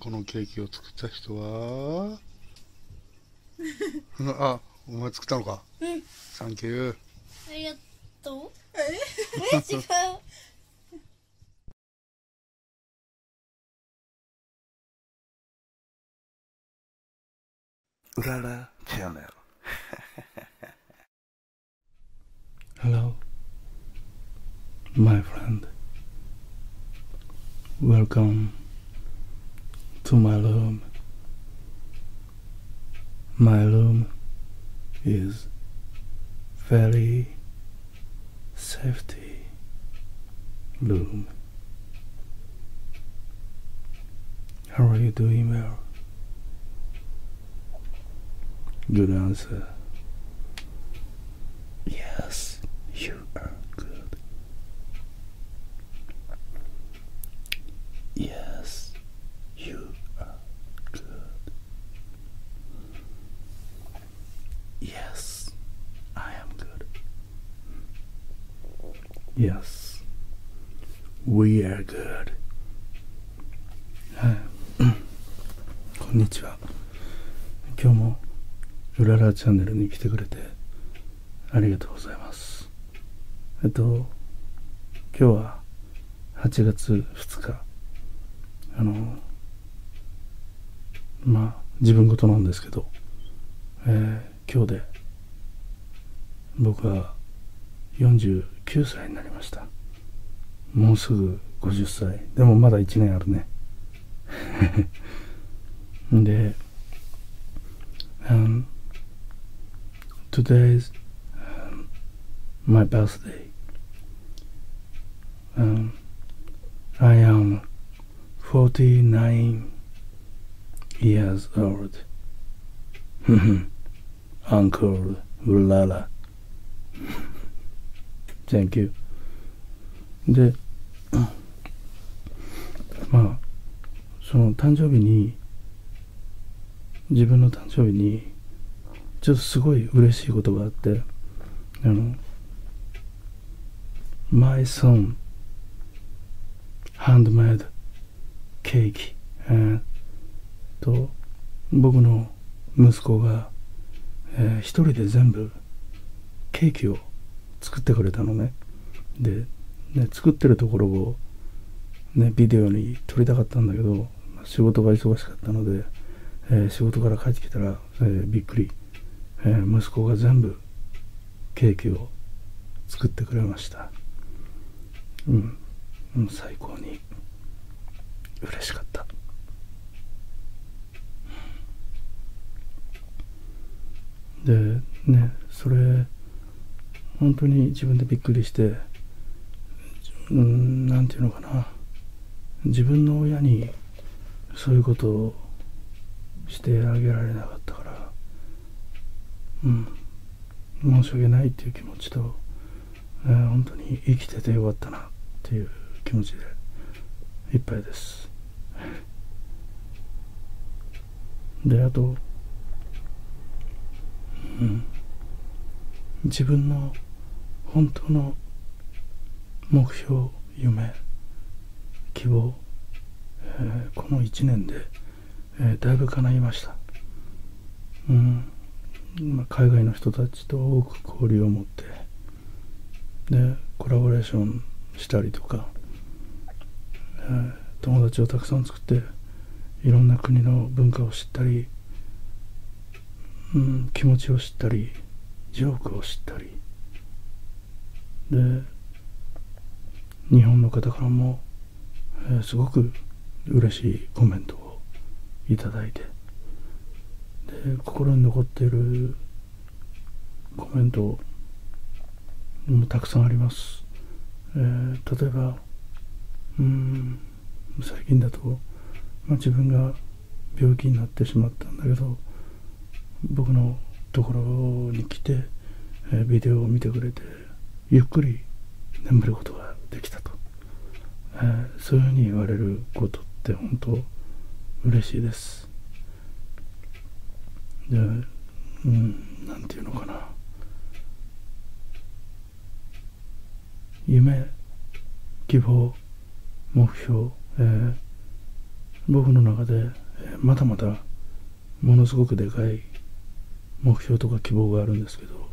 このケーキを作った人は あお前作ったのかサンキューありがとうえ違う Urara Channel. Hello, my friend. Welcome to my loom. My loom is very safety loom. How are you doing, Mel? Good answer. Yes, you are good. Yes, you are good. Yes, I am good. Yes, we are g o はい。こんにちは。今日もうららチャンネルに来てくれてありがとうございます。えっと、今日は8月2日。あの、まあ、自分事なんですけど、え今日で僕は49歳になりましたもうすぐ50歳でもまだ1年あるね で、um, today's m y birthday um, I am 49 years old. Uncle Ulala. Thank you. で、まあ、その誕生日に、自分の誕生日に、ちょっとすごい嬉しいことがあって、あの、My son ハンドメ m ドケーキ。a k と僕の息子が、え一人で全部ケーキを作ってくれたのねで作ってるところを、ね、ビデオに撮りたかったんだけど仕事が忙しかったので、仕事から帰ってきたら、えー、びっくり、えー、息子が全部ケーキを作ってくれましたうん、う最高に嬉しかったでねそれ本当に自分でびっくりしてうんなんていうのかな自分の親にそういうことをしてあげられなかったからうん、申し訳ないっていう気持ちと、えー、本当に生きててよかったなっていう気持ちでいっぱいです。であと、うん、自分の本当の目標夢希望、えー、この1年でえだいぶ叶いました。うん、ま海外の人たちと多く交流を持ってでコラボレーションしたりとか、え友達をたくさん作っていろんな国の文化を知ったり、うん、気持ちを知ったりジョークを知ったりで日本の方からも、すごく嬉しいコメントをいただいてで心に残っているコメントもたくさんあります、例えば最近だと、まあ、自分が病気になってしまったんだけど僕のところに来てえビデオを見てくれてゆっくり眠ることができたと、えー、そういうふうに言われることって本当嬉しいですでんて言うのかな夢希望目標、えー、僕の中でまだまだものすごくでかい目標とか希望があるんですけど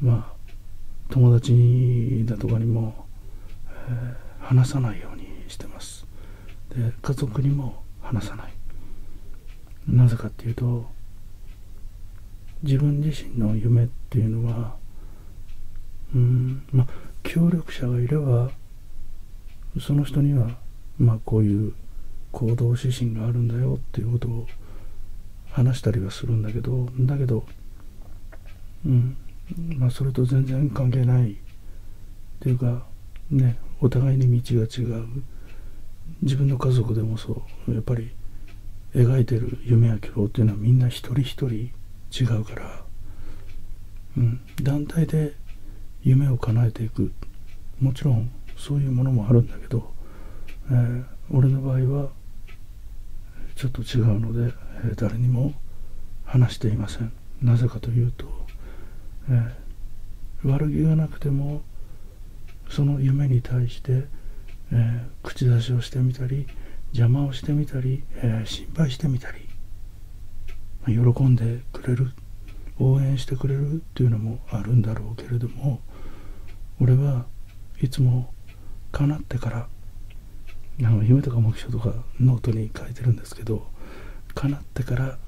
まあ友達だとかにも、話さないようにしてますで家族にも話さないなぜかっていうと自分自身の夢っていうのはうんまあ協力者がいればその人には、まこういう行動指針があるんだよっていうことを話したりはするんだけどだけど、うんまそれと全然関係ないっていうかねお互いに道が違う自分の家族でもそうやっぱり描いてる夢や希望っていうのはみんな一人一人違うから、うん、団体で夢を叶えていくもちろんそういうものもあるんだけど、え俺の場合はちょっと違うので、え誰にも話していませんなぜかというと、え悪気がなくてもその夢に対して、え口出しをしてみたり邪魔をしてみたり、え心配してみたり喜んでくれるる応援してくれるっていうのもあるんだろうけれども俺はいつも叶ってからあの夢とか目標とかノートに書いてるんですけど叶ってから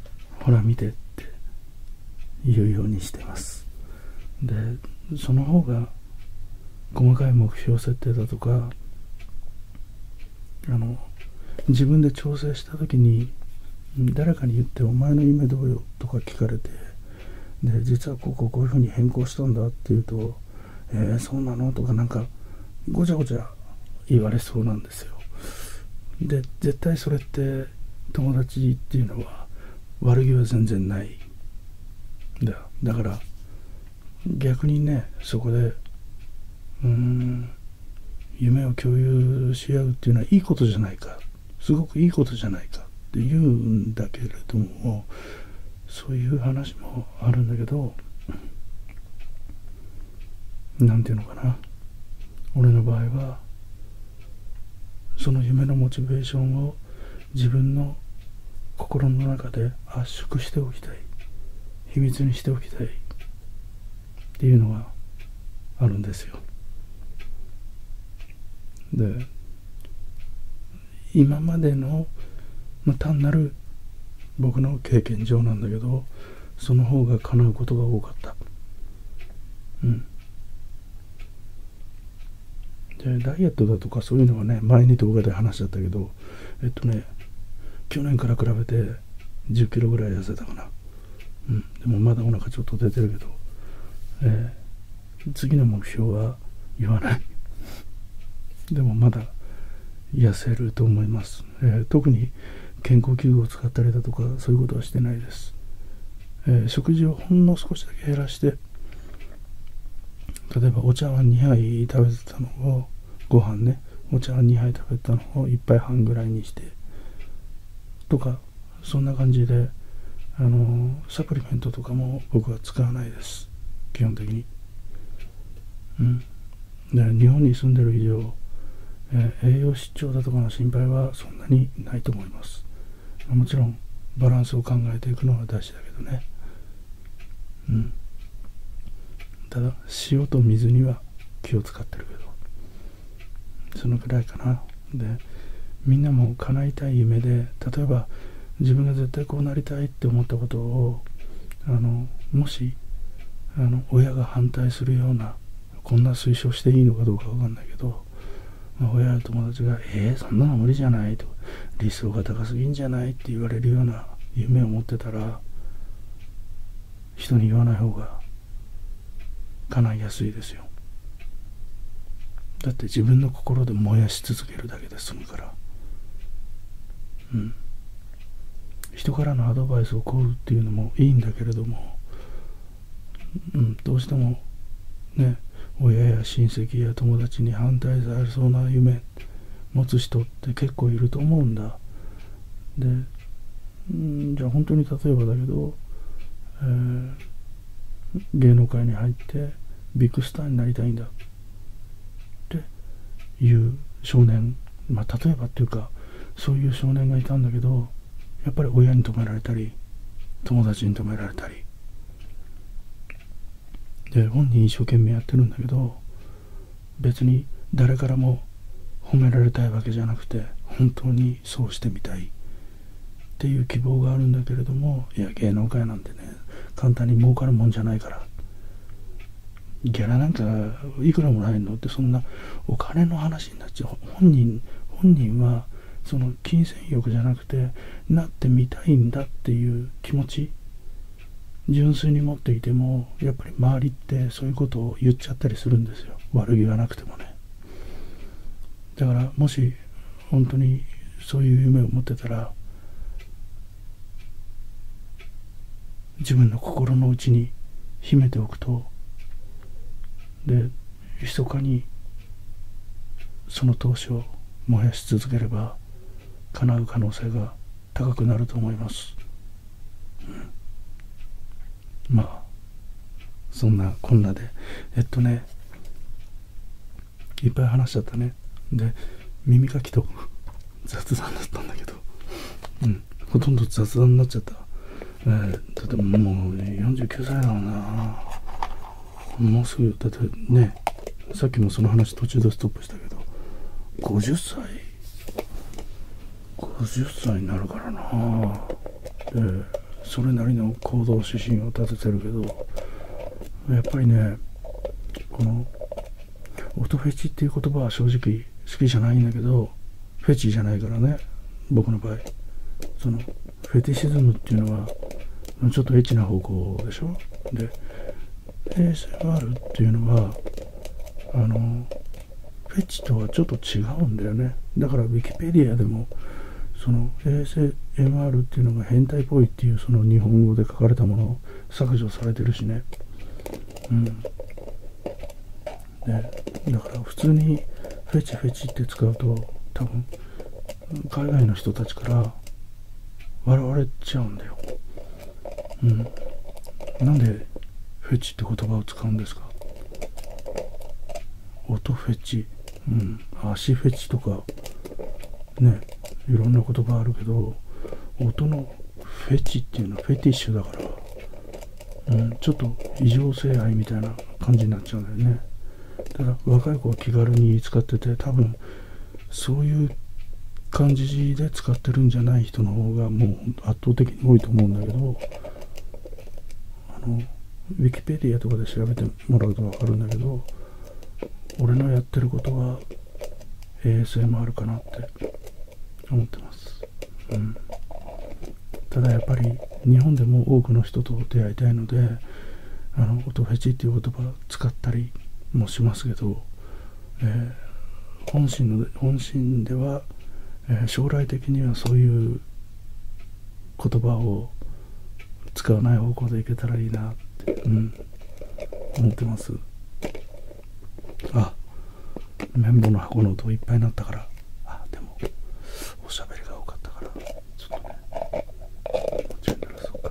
ほら見てって言うようにしてますでその方が細かい目標設定だとか自分で調整した時に誰かに言って「お前の夢どうよ」とか聞かれてで実はこここういうふうに変更したんだって言うと「えそうなの?」とかなんかごちゃごちゃ言われそうなんですよ。で絶対それって友達っていうのは悪気は全然ないだよ。だから逆にねそこでうーん夢を共有し合うっていうのはいいことじゃないかすごくいいことじゃないかって言うんだけれどもそういう話もあるんだけど何て言うのかな俺の場合はその夢のモチベーションを自分の心の中で圧縮しておきたい秘密にしておきたいっていうのがあるんですよ。で今までの、まあ、単なる僕の経験上なんだけどその方が叶うことが多かったうんじでダイエットだとかそういうのはね前に動画で話しちゃったけどえっとね去年から比べて1 0キロぐらい痩せたかなうん、でもまだお腹ちょっと出てるけど、え次の目標は言わない でもまだ痩せると思います、え特に健康器具を使ったりだとかそういうことはしてないです、え食事をほんの少しだけ減らして例えばお茶碗2杯食べてたのをご飯ねお茶碗2杯食べたのを1杯半ぐらいにしてとかそんな感じであのサプリメントとかも僕は使わないです基本的にうんで日本に住んでる以上、え栄養失調だとかの心配はそんなにないと思いますもちろんバランスを考えていくのは大事だけどねうんただ塩と水には気を使ってるけどそのくらいかなでみんなも叶いたい夢で例えば自分が絶対こうなりたいって思ったことをあのもしあの親が反対するようなこんな推奨していいのかどうかわかんないけど、ま親や友達が「えー、そんなの無理じゃない」と「理想が高すぎんじゃない」って言われるような夢を持ってたら人に言わない方が叶いやすいですよだって自分の心で燃やし続けるだけで済むからうん人からのアドバイスを請うっていうのもいいんだけれども、うん、どうしてもね親や親戚や友達に反対されそうな夢持つ人って結構いると思うんだでうんじゃあ本当に例えばだけど、えー、芸能界に入ってビッグスターになりたいんだっていう少年まあ例えばっていうかそういう少年がいたんだけどやっぱり親に止められたり友達に止められたりで本人一生懸命やってるんだけど別に誰からも褒められたいわけじゃなくて本当にそうしてみたいっていう希望があるんだけれどもいや芸能界なんてね簡単に儲かるもんじゃないからギャラなんかいくらもらえるのってそんなお金の話になっちゃう本人本人はその金銭欲じゃなくてなってみたいんだっていう気持ち純粋に持っていてもやっぱり周りっっそういうことを言っちゃったりするんですよ悪気がなくてもねだからもし本当にそういう夢を持ってたら自分の心の内に秘めておくとで密かにその闘志を燃やし続ければ叶う可能性が高くなると思います。まあそんなこんなでえっとねいっぱい話しちゃったねで耳かきと 雑談だったんだけどうんほとんど雑談になっちゃった、えー、だってもうね49歳だろうなもうすぐだってねさっきもその話途中でストップしたけど50歳50歳になるからなそれなりの行動指針を立ててるけどやっぱりねこのオトフェチっていう言葉は正直好きじゃないんだけどフェチじゃないからね僕の場合そのフェティシズムっていうのはちょっとエッチな方向でしょで a s あるっていうのはあのフェチとはちょっと違うんだよねだからウィキペディアでもその ASMR っていうのが変態っぽいっていうその日本語で書かれたものを削除されてるしねうんねだから普通にフェチフェチって使うと多分海外の人たちから笑われちゃうんだようんなんでフェチって言葉を使うんですか音フェチ、うん、足フェチとか、ね、いろんな言葉あるけど、音のフェチっていうのはフェティッシュだから、うん、ちょっと異常性愛みたいな感じになっちゃうんだよね。ただ、若い子は気軽に使ってて、多分、そういう感じで使ってるんじゃない人の方がもう本圧倒的に多いと思うんだけど、あの、ウィキペディアとかで調べてもらうと分かるんだけど、俺のやってることは ASMR かなって思ってます。うん、ただやっぱり日本でも多くの人と出会いたいので、あの、音フェチっていう言葉使ったりもしますけど、えー、本心の本心ではえ将来的にはそういう言葉を使わない方向でいけたらいいなって、うん、思ってますあ綿棒の箱の音いっぱいになったからあでもおしゃべりが多かったからちょっとねこっちに鳴らそうか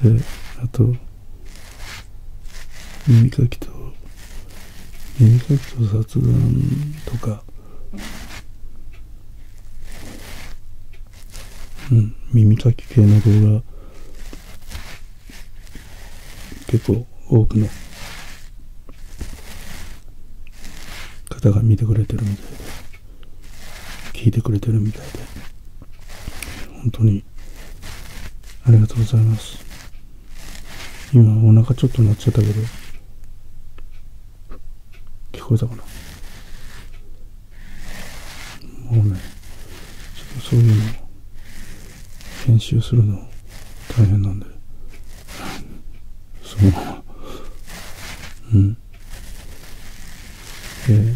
であと耳かきと耳かきと雑談とかうん、耳かき系の動画、結構多くの方が見てくれてるみたいで、聞いてくれてるみたいで、本当にありがとうございます。今お腹ちょっと鳴っちゃったけど、聞こえたかなもうね、ちょっとそういうのを編集するの大変なんで、そう。うん。え、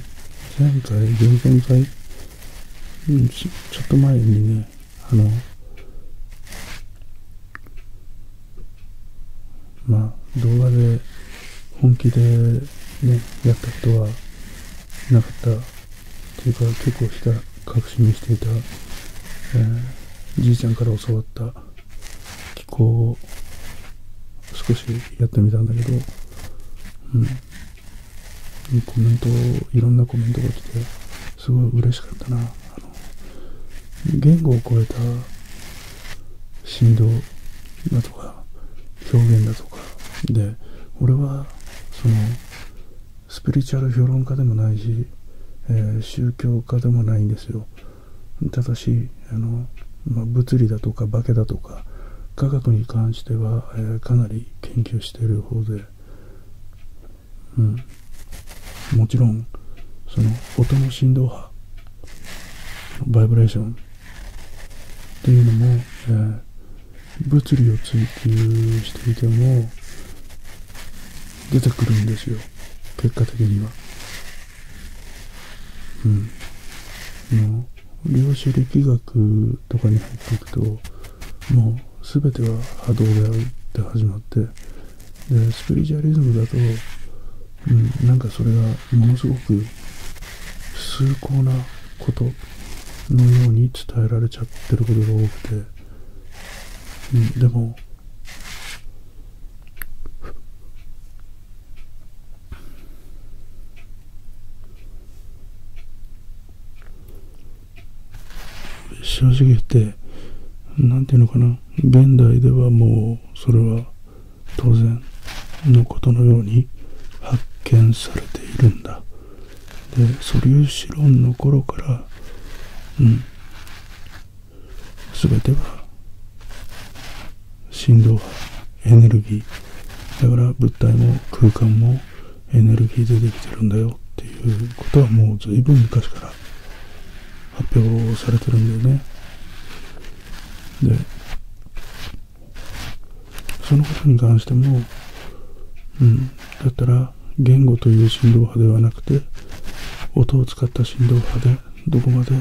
前回、前々回、うん、ちちょっと前にね、あの、まあ、動画で本気でね、やったことはなかったっていうか、結構した隠しにしていた、えじいちゃんから教わった気候を少しやってみたんだけど、うん。コメント、いろんなコメントが来て、すごい嬉しかったな。あの言語を超えた振動だとか表現だとかで俺はそのスピリチュアル評論家でもないし、えー、宗教家でもないんですよただしあの、まあ、物理だとか化けだとか科学に関しては、えー、かなり研究している方で、うん、もちろんその音の振動波バイブレーションっていうのも、えー、物理を追求していても出てくるんですよ結果的にはうんもう量子力学とかに入っていくともう全ては波動であるって始まってでスピリチュアリズムだと、うん、なんかそれがものすごく崇高なことのように伝えられちゃってることが多くて、うん、でも正直言って何て言うのかな現代ではもうそれは当然のことのように発見されているんだで素粒子論の頃からうん全ては振動波エネルギーだから物体も空間もエネルギーでできてるんだよっていうことはもう随分昔から発表されてるんだよねでそのことに関しても、うん、だったら言語という振動波ではなくて音を使った振動波でどこまで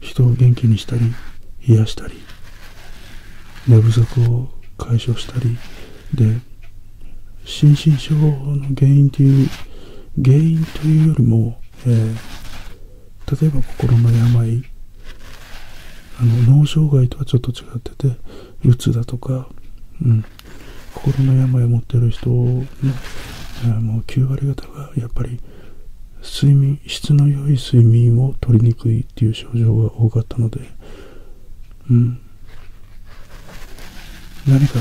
人を元気にしたり癒したり寝不足を解消したりで心身症の原因という原因というよりも、えー、例えば心の病あの脳障害とはちょっと違っててうつだとか、うん、心の病を持ってる人の、えもう9割方がやっぱり睡眠質の良い睡眠を取りにくいっていう症状が多かったので、うん、何か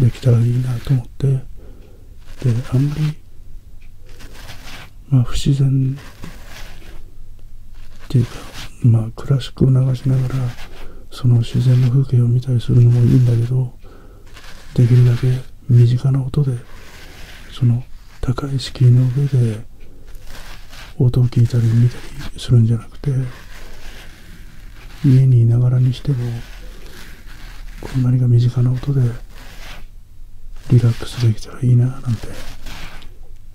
できたらいいなと思ってであんまり、ま不自然っていうか、まあ、クラシックを流しながらその自然の風景を見たりするのもいいんだけどできるだけ身近な音でその高い敷居の上で音を聞いたり見たりするんじゃなくて家にいながらにしてもこう何か身近な音でリラックスできたらいいななんて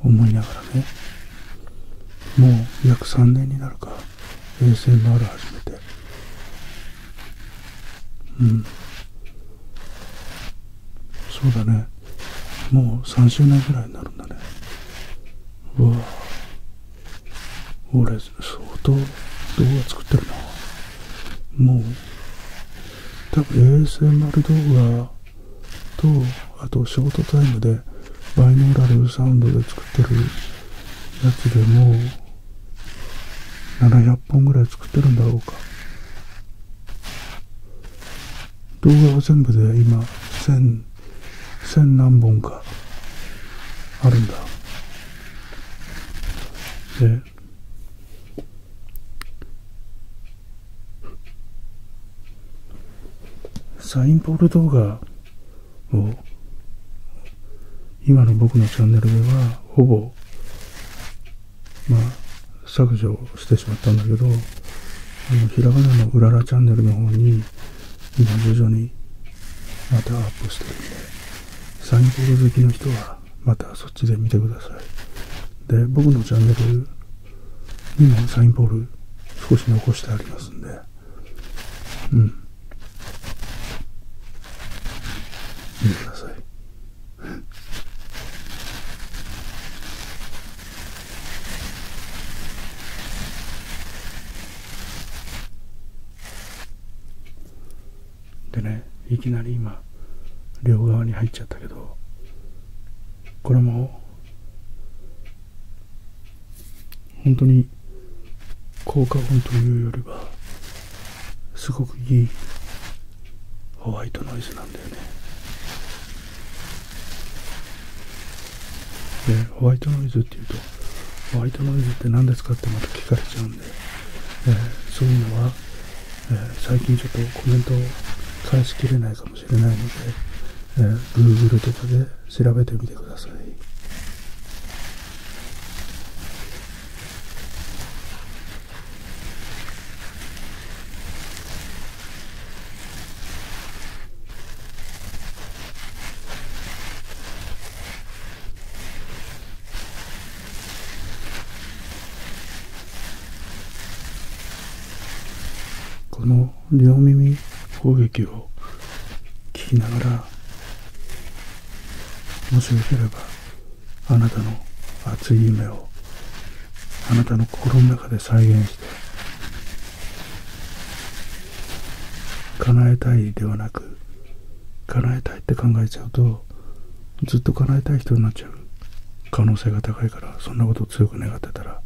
思いながらねもう約3年になるか衛星回る。始めてうんそうだねもう3周年ぐらいになるんだねうわ俺相当動画作ってるなもう多分 ASMR 動画とあとショートタイムでバイノーラルサウンドで作ってるやつでもう700本ぐらい作ってるんだろうか動画は全部で今1000千何本かあるんだでサインポール動画を今の僕のチャンネルではほぼま削除してしまったんだけどあのひらがなのうららチャンネルの方に今徐々にまたアップしてるんでサインポール好きの人はまたそっちで見てくださいで僕のチャンネルにもサインボール少し残してありますんでうん見てくださいでねいきなり今両側に入っちゃったけどこれも本当に効果音というよりはすごくいいホワイトノイズなんだよねでホワイトノイズっていうとホワイトノイズって何ですかってまた聞かれちゃうんで、えそういうのは最近ちょっとコメントを返しきれないかもしれないので、Google とかで調べてみてください。この両耳攻撃を聞きながらもしよければあなたの熱い夢をあなたの心の中で再現して叶えたいではなく叶えたいって考えちゃうとずっと叶えたい人になっちゃう可能性が高いからそんなことを強く願ってたら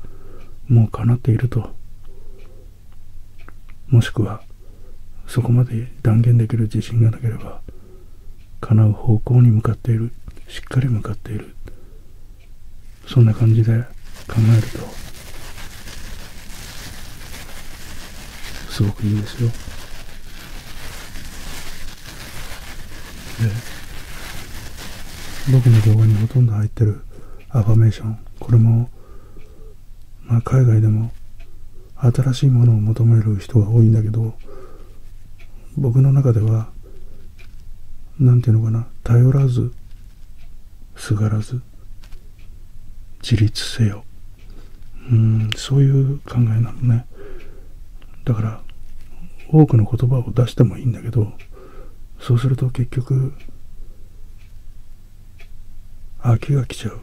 もう叶っているともしくはそこまで断言できる自信がなければ叶う方向に向かっているしっかり向かっているそんな感じで考えるとすごくいいですよで、僕の動画にほとんど入ってるアファメーションこれも、ま海外でも新しいものを求める人が多いんだけど僕の中では何て言うのかな頼らずすがらず自立せようんそういう考えなのねだから多くの言葉を出してもいいんだけどそうすると結局飽きが来ちゃう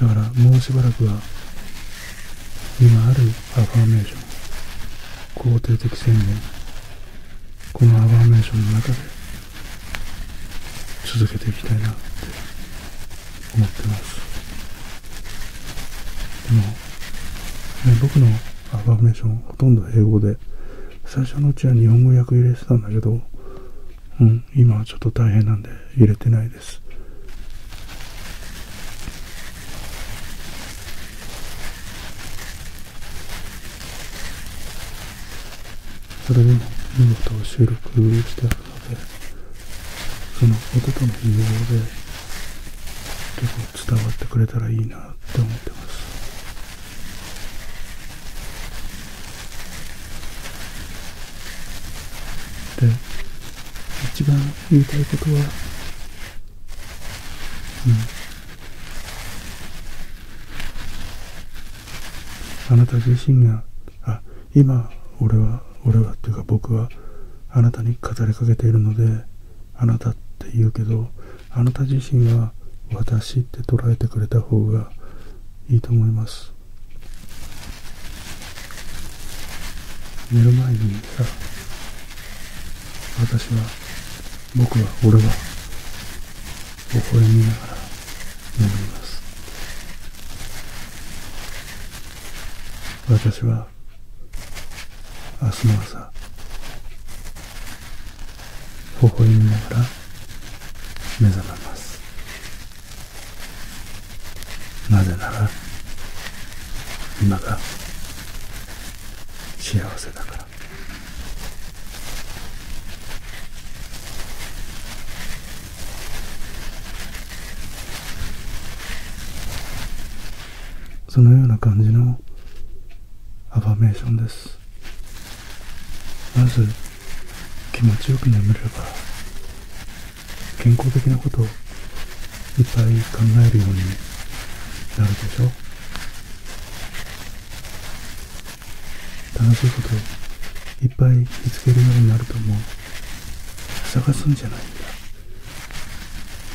だからもうしばらくは今あるアファーメーション肯定的宣言このアファーメーションの中で続けていきたいなって思ってますでも、ね、僕のアファメーションほとんど英語で最初のうちは日本語訳入れてたんだけど、うん、今はちょっと大変なんで入れてないですそれでも見事収録して。のでその音との融合で結構伝わってくれたらいいなって思ってますで一番言いたいことは、うん、あなた自身があ今俺は俺はっていうか僕はあなたに語りかけているのであなたって言うけどあなた自身は私って捉えてくれた方がいいと思います寝る前にさ私は僕は俺は微笑みながら私は明日の朝微笑みながら目覚めますなぜなら今が幸せだからそのような感じのアファメーションですまず気持ちよく眠れば健康的なことをいっぱい考えるようになるでしょ楽しいこといっぱい見つけるようになると思う探すんじゃないんだ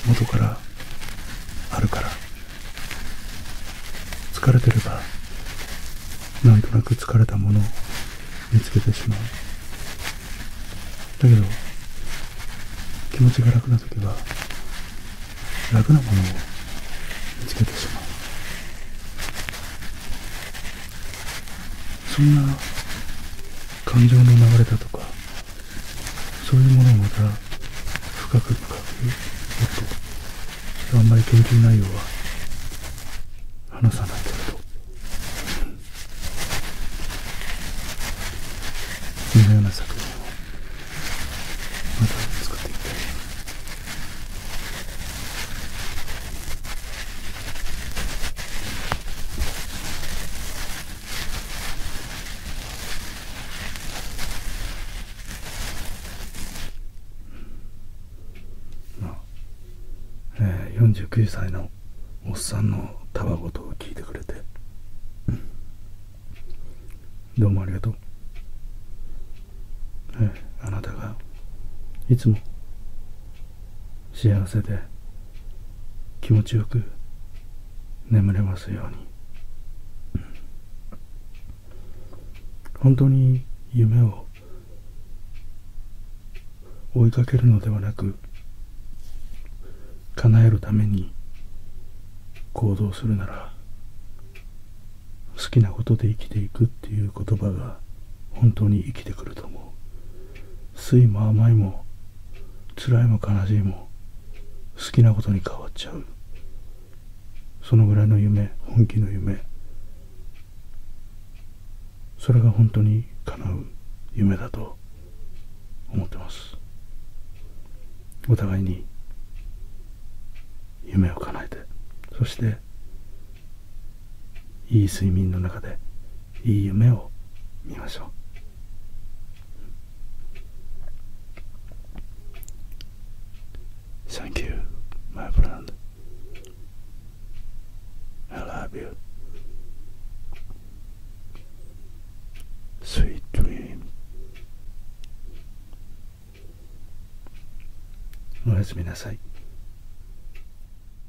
元からあるから疲れてればなんとなく疲れたものを見つけてしまうだけど気持ちが楽な時は楽なものを見つけてしまうそんな感情の流れだとかそういうものをまた深く深くもっとあんまり研究内容は話さないけれどそんなような作品をまた作っていきたいまあ、ね、49歳のおっさんのたわごとを聞いてくれて、どうもありがとう、え、あなたがいつも幸せで気持ちよく眠れますように本当に夢を追いかけるのではなく叶えるために行動するなら好きなことで生きていくっていう言葉が本当に生きてくると思う酸いも甘いも辛いも悲しいも好きなことに変わっちゃうそのぐらいの夢本気の夢それが本当に叶う夢だと思ってますお互いに夢を叶えてそしていい睡眠の中でいい夢を見ましょうサンキューマイフランド I love you sweet dream おやすみなさい